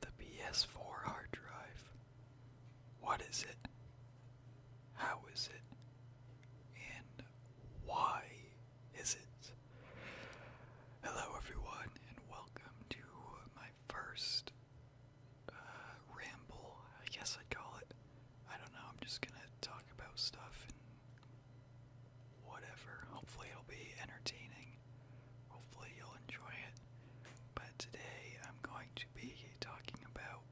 The PS4 hard drive. What is it? How is it? And why is it? Hello, everyone, and welcome to my first uh, ramble, I guess I'd call it. I don't know, I'm just gonna talk about stuff and whatever. Hopefully, it'll be entertaining. Hopefully, you'll enjoy it. But today, I'm going to be talking about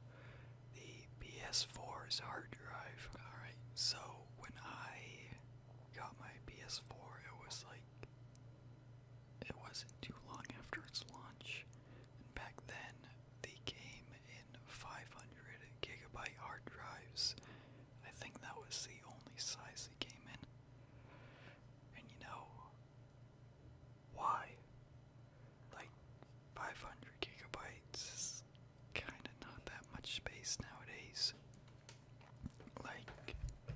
the PS4's hard drive. Alright, so when I got my PS4, it was like. It wasn't too long after its launch, and back then they came in 500 gigabyte hard drives. I think that was the only size they came in. And you know why? Like 500 gigabytes is kind of not that much space nowadays. Like, you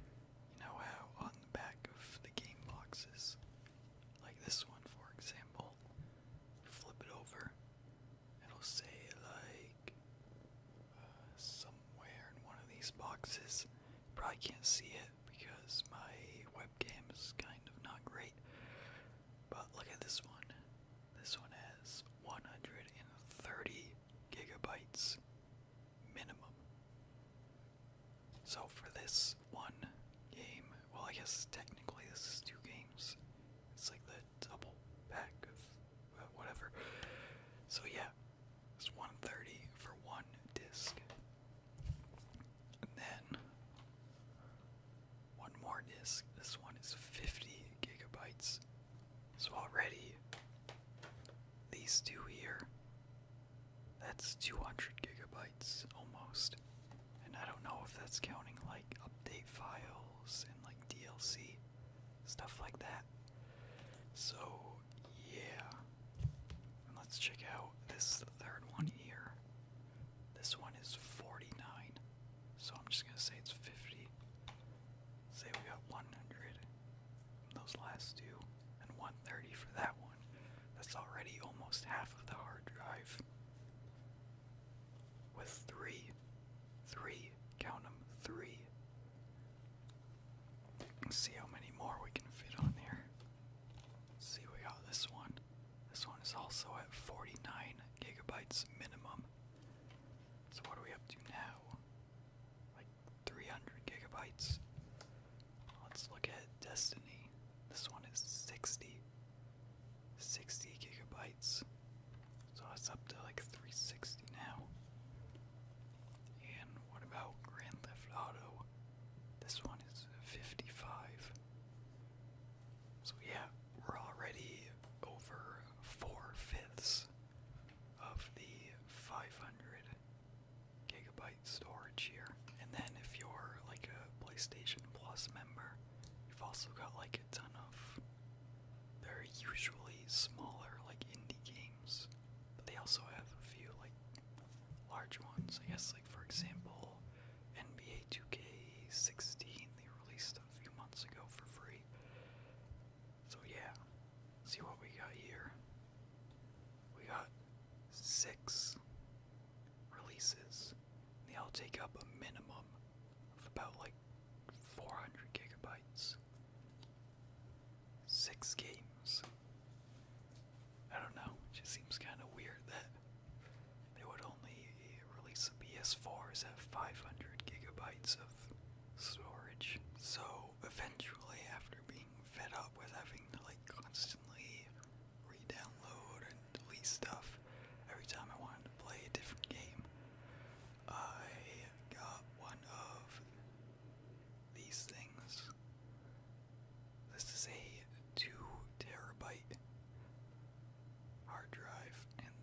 know how on the back of the game boxes, like this one for example, flip it over, it'll say like somewhere in one of these boxes. Probably can't see it because my web game is kind of not great. But look at this one. This one has 130 gigabytes minimum. So for this one game, well, I guess technically this is two games. It's like the double pack of uh, whatever. So yeah, it's 130 for one disc. And then one more disc. This one is 50 gigabytes. So already these two here that's 200 gigabytes almost. And I don't know if that's counting like update files and like DLC stuff like that. So, yeah. let's check out this third one here. This one is 49. So I'm just going to say it's 50. Say we got 100. Those last two. And 130 for that one. That's already almost half of the hard drive. With three. Three. Count them. Three Let's see how many more we can fit on here. Let's see, we got this one. This one is also at 49 gigabytes minimum. So, what are we up to now? Like 300 gigabytes. Let's look at Destiny. This one is 60. 60 gigabytes. So it's up to like 360 now. And what about Grand Theft Auto? This one is 55. So, yeah, we're already over four fifths of the 500 gigabyte storage here. And then, if you're like a PlayStation Plus member, you've also got like a ton of. They're usually smaller, like indie games they also have a few like large ones. I guess like for example, NBA 2K16 they released a few months ago for free. So yeah, see what we got here. We got six releases. They all take up a minimum of about like 400 gigabytes. Six games. I don't know. It just seems kind of weird that they would only release the PS4s at 500 gigabytes of storage. So eventually, after being fed up with having to like constantly re-download and delete stuff every time I wanted to play a different game, I got one of these things. This is a two terabyte hard drive, and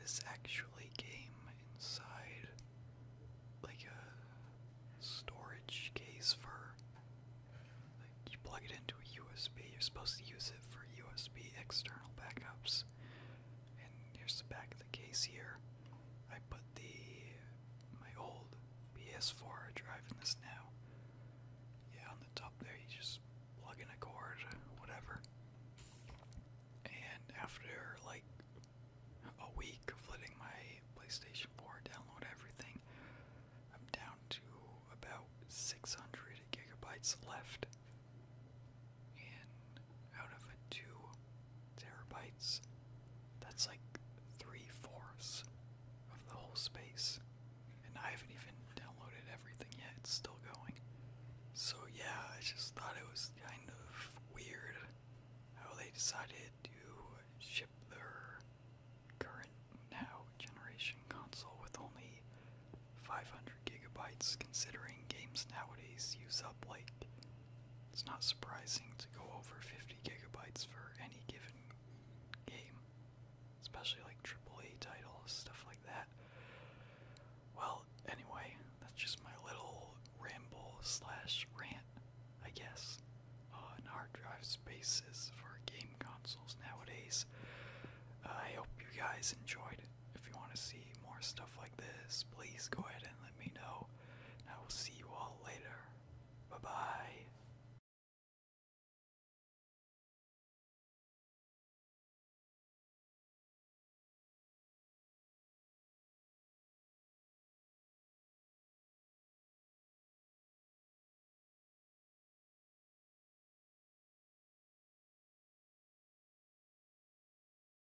this actually came inside like a storage case for. you plug it into a USB. You're supposed to use it for USB external backups and here's the back of the case here. I put the my old PS4 drive in this now. Yeah, on the top there you just plug in a cord, whatever. And after like a week of letting my PlayStation 4 download everything, I'm down to about 600 gigabytes left and out of a two terabytes, that's like three fourths of the whole space. And I haven't even downloaded everything yet, it's still going. So, yeah, I just thought it was kind of weird how they decided to ship their current now generation console with only 500 gigabytes, considering games nowadays use up like it's not surprising to go over 50 gigabytes for any given game, especially like AAA titles, stuff like that. Well, anyway, that's just my little ramble slash rant, I guess, on hard drive spaces for game consoles nowadays. Uh, I hope you guys enjoyed. If you want to see more stuff like this, please go ahead and let me know. I will see you all later. Bye bye.